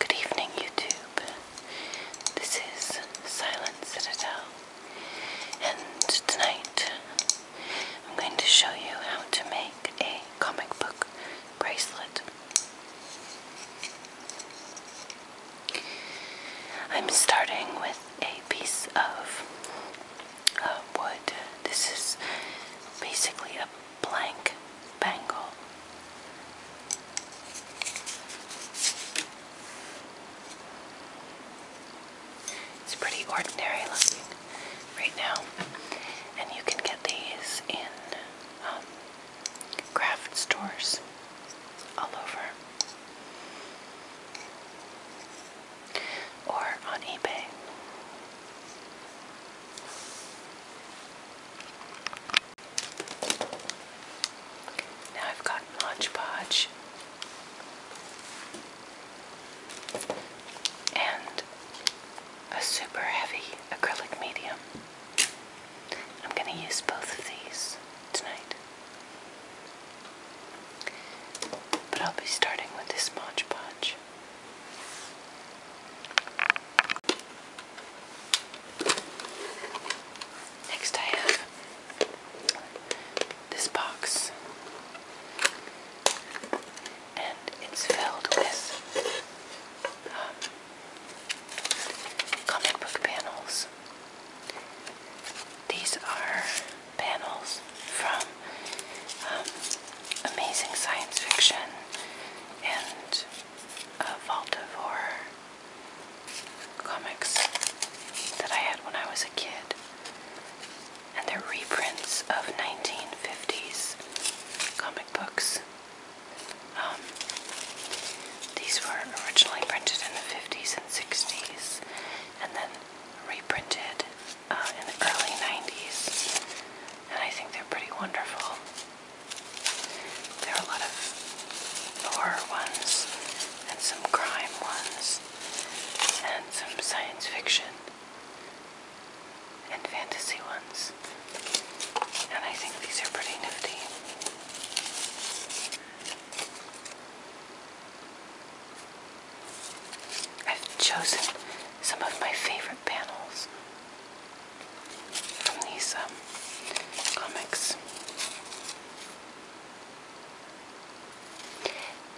Good evening, YouTube. This is Silent Citadel, and tonight I'm going to show you how to make a comic book bracelet. I'm starting with a piece of uh, wood. This is basically a blank bangle. It's pretty ordinary looking right now, and you can get these in um, craft stores all over. Or on eBay. Now I've got Mod Podge and a super heavy acrylic medium. I'm going to use both of these tonight. But I'll be starting with this Mod Podge. Next I have this box and it's filled with um, comic book panels. These are panels from um, amazing science fiction and uh, Voltivore comics that I had when I was a kid. And they're reprints of 1950s comic books. Um, these were originally printed in the 50s and 60s and then reprinted uh, in the early 90s. And I think they're pretty wonderful. There are a lot of horror ones, and some crime ones, and some science fiction, and fantasy ones. And I think these are pretty nifty. I've chosen some of my favorite panels from these um, comics.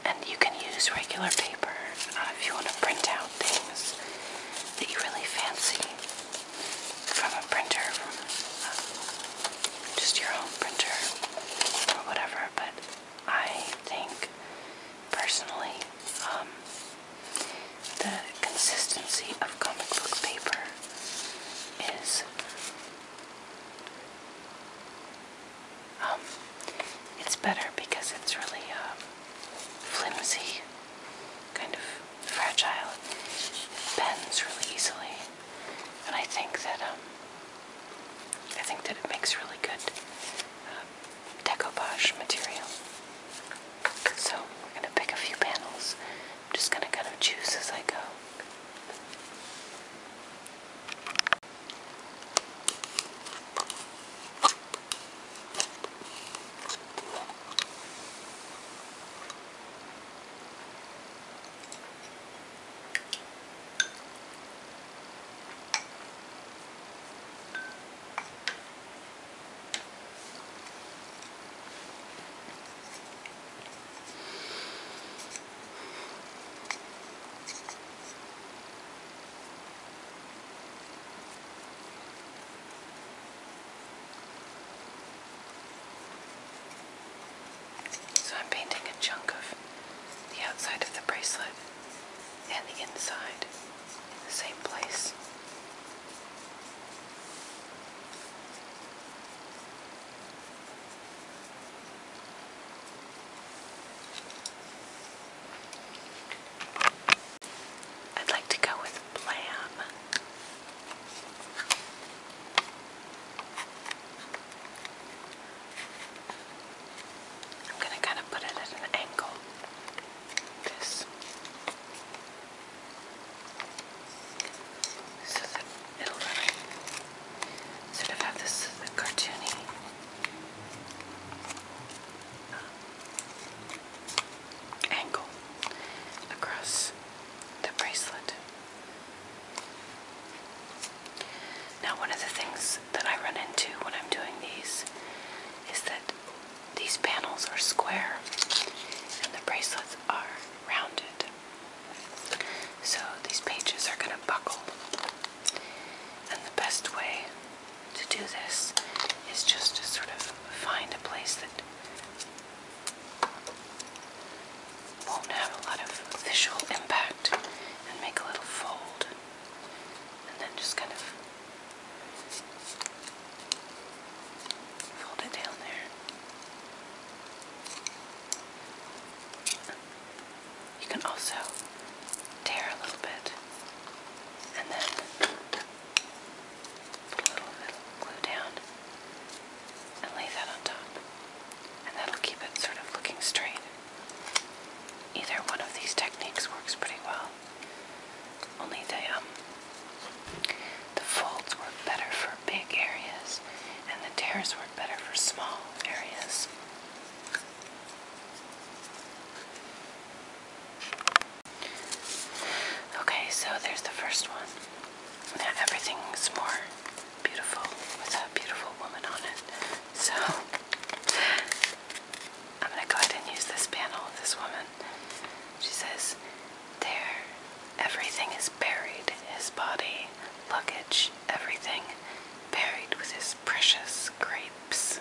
And you can use regular paper uh, if you want to print out things that you really fancy from a printer, from uh, just your own printer or whatever. But I think personally, um, the consistency of comic book paper is um, it's better because it's really um, flimsy, kind of fragile. It bends really easily, and I think that um, I think that it makes really good decoupage material. So we're going to pick a few panels. I'm just going to kind of choose as I go. So I'm painting a chunk of the outside of the bracelet and the inside the same place. I'd like to go with Blam. I'm going to kind of put it at an angle this so that it'll really of have this cartoony uh, angle across the bracelet. Now, one of the things that I run into when I'm doing these is that these panels are square and the bracelets are rounded. So these pages are going to buckle. And the best way to do this is just to sort of find a place that won't have a lot of visual impact and make a little fold. And then just kind of Fold it down there. You can also tear a little bit and then put a little bit of glue down and lay that on top. And that'll keep it sort of looking straight. Either one of these techniques works pretty well. Only the, um, the folds work better for big areas and the tears work better for small areas. Okay, so there's the first one. everything's more beautiful with a beautiful woman on it. So I'm going to go ahead and use this panel this woman she says, There, everything is buried his body, luggage, everything buried with his precious grapes.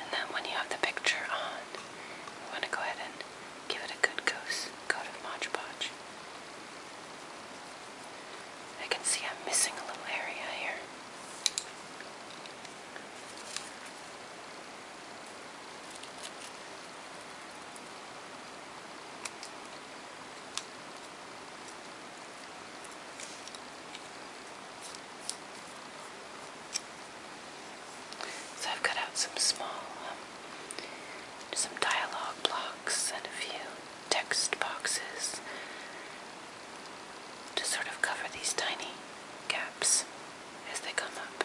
And then when you have the picture on, you want to go ahead and give it a good coat of Mod Podge. I can see I'm missing a little area here. So I've cut out some small, um, some dialogue blocks and a few text boxes to sort of cover these tiny gaps as they come up.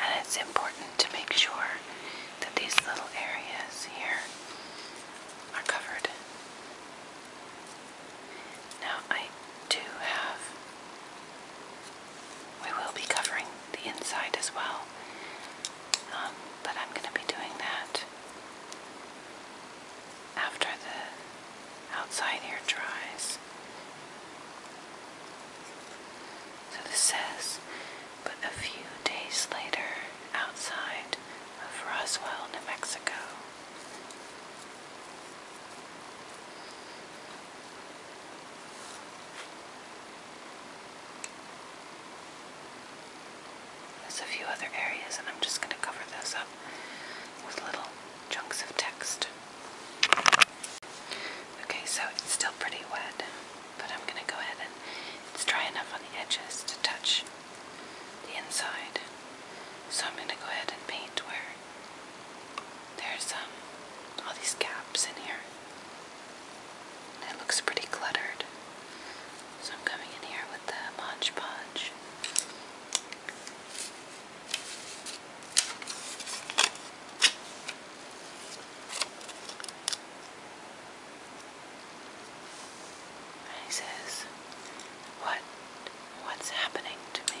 And it's important to make sure that these little areas here are covered. Now, I do have, I will be covering the inside as well, um, but I'm going to be doing that after the outside here dries. So this says, but a few days later, outside of Roswell, New Mexico. There's a few other areas, and I'm just going to cover those up with little chunks of text. Okay, so it's still pretty wet, but I'm going to go ahead and it's dry enough on the edges to touch the inside. So I'm going to go ahead and paint where there's um, all these gaps in here. it looks pretty cluttered. So I'm coming in here with with the Mod he says, What what's happening to me?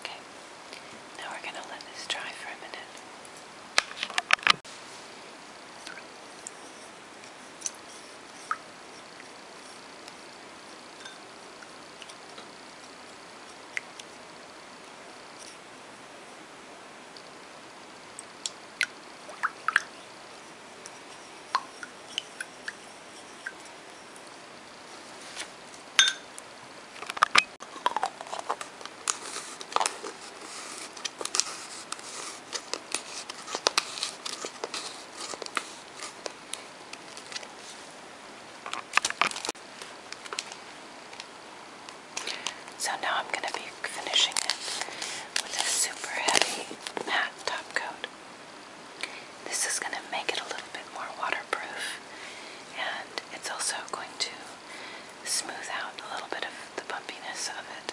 Okay, now we're going to let this dry for a minute. So now I'm going to be finishing it with a super heavy matte top coat. This is going to make it a little bit more waterproof and it's also going to smooth out a little bit of the bumpiness of it.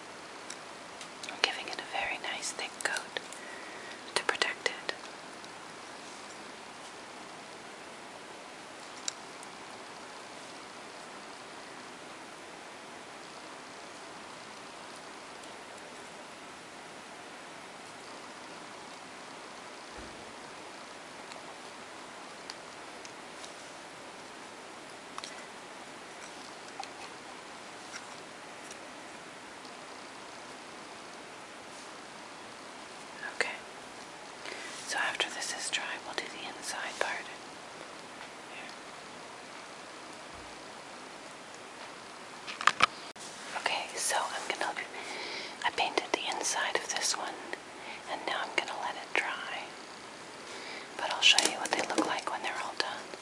I'm giving it a very nice thick coat to protect it. Okay. So after this is dry, we'll do the inside part. Okay, so I'm gonna I painted the inside of this one and now I'm gonna let it dry. But I'll show you what they look like when they're all done.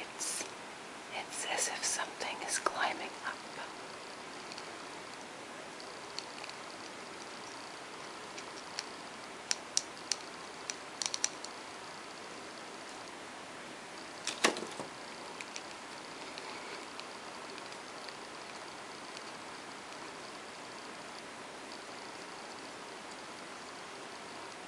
It's it's as if something is climbing up.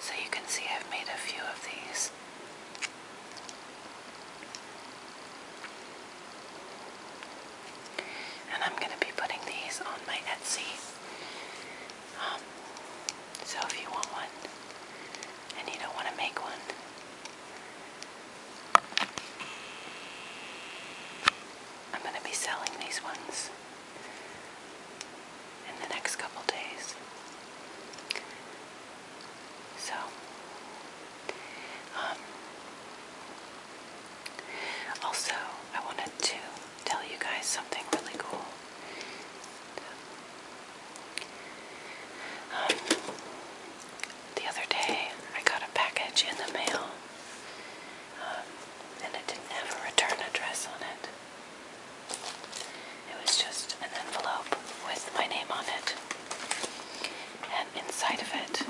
So you can see I've made a few of these. And I'm going to be putting these on my Etsy. Um, so if you want one and you don't want to make one, I'm going to be selling these ones in the next couple days. So, um, also, I wanted to tell you guys something really cool. Um, the other day, I got a package in the mail and it didn't have a return address on it. It was just an envelope with my name on it, and inside of it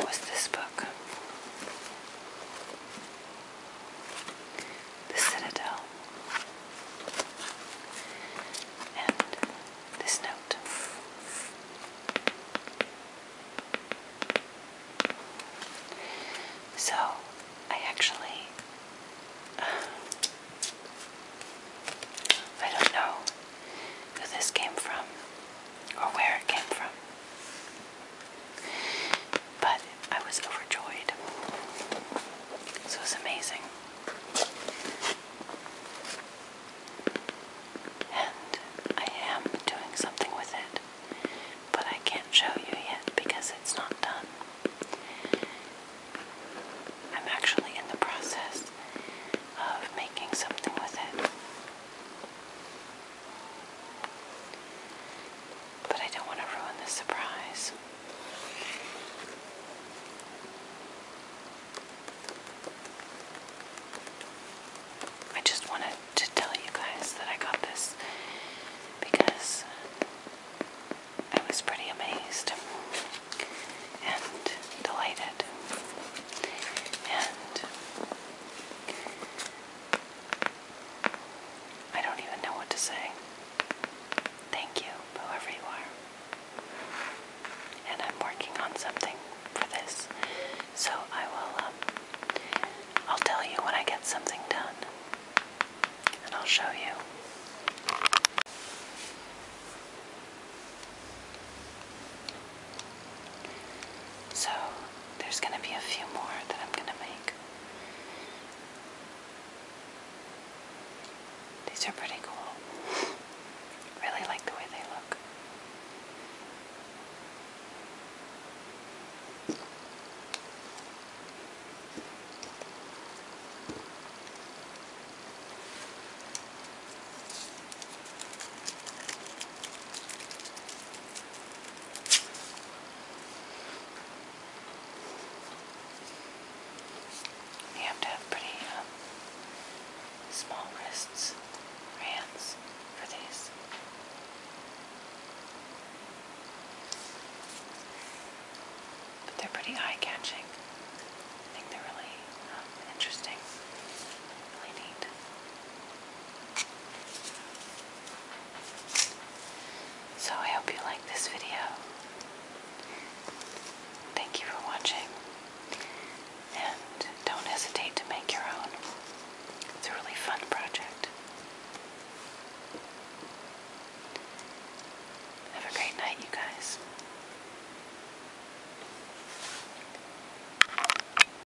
was this book the citadel. And this note. So, I actually, I don't know who this came from or where it came from. But I was overjoyed. So was amazing. And I am doing something with it, but I can't show you yet because it's not done. I'm actually in the process of making something with it. But I don't want to ruin the surprise. I just wanted to tell you guys that I got this because I was pretty amazed and delighted. And I don't even know what to say. Thank you, whoever you are. And I'm working on something for this, so I will. Um, I'll tell you when I get something done, and I'll show you. So there's going to be a few more that I'm going to make. These are pretty cool. really like the way they look. You have to have pretty um, small wrists hands for these. But they're pretty eye-catching. I think they're really um, interesting, really neat. So I hope you like this video. Thank you for watching. And don't hesitate to make your own. It's a really fun project. Have a great night, you guys.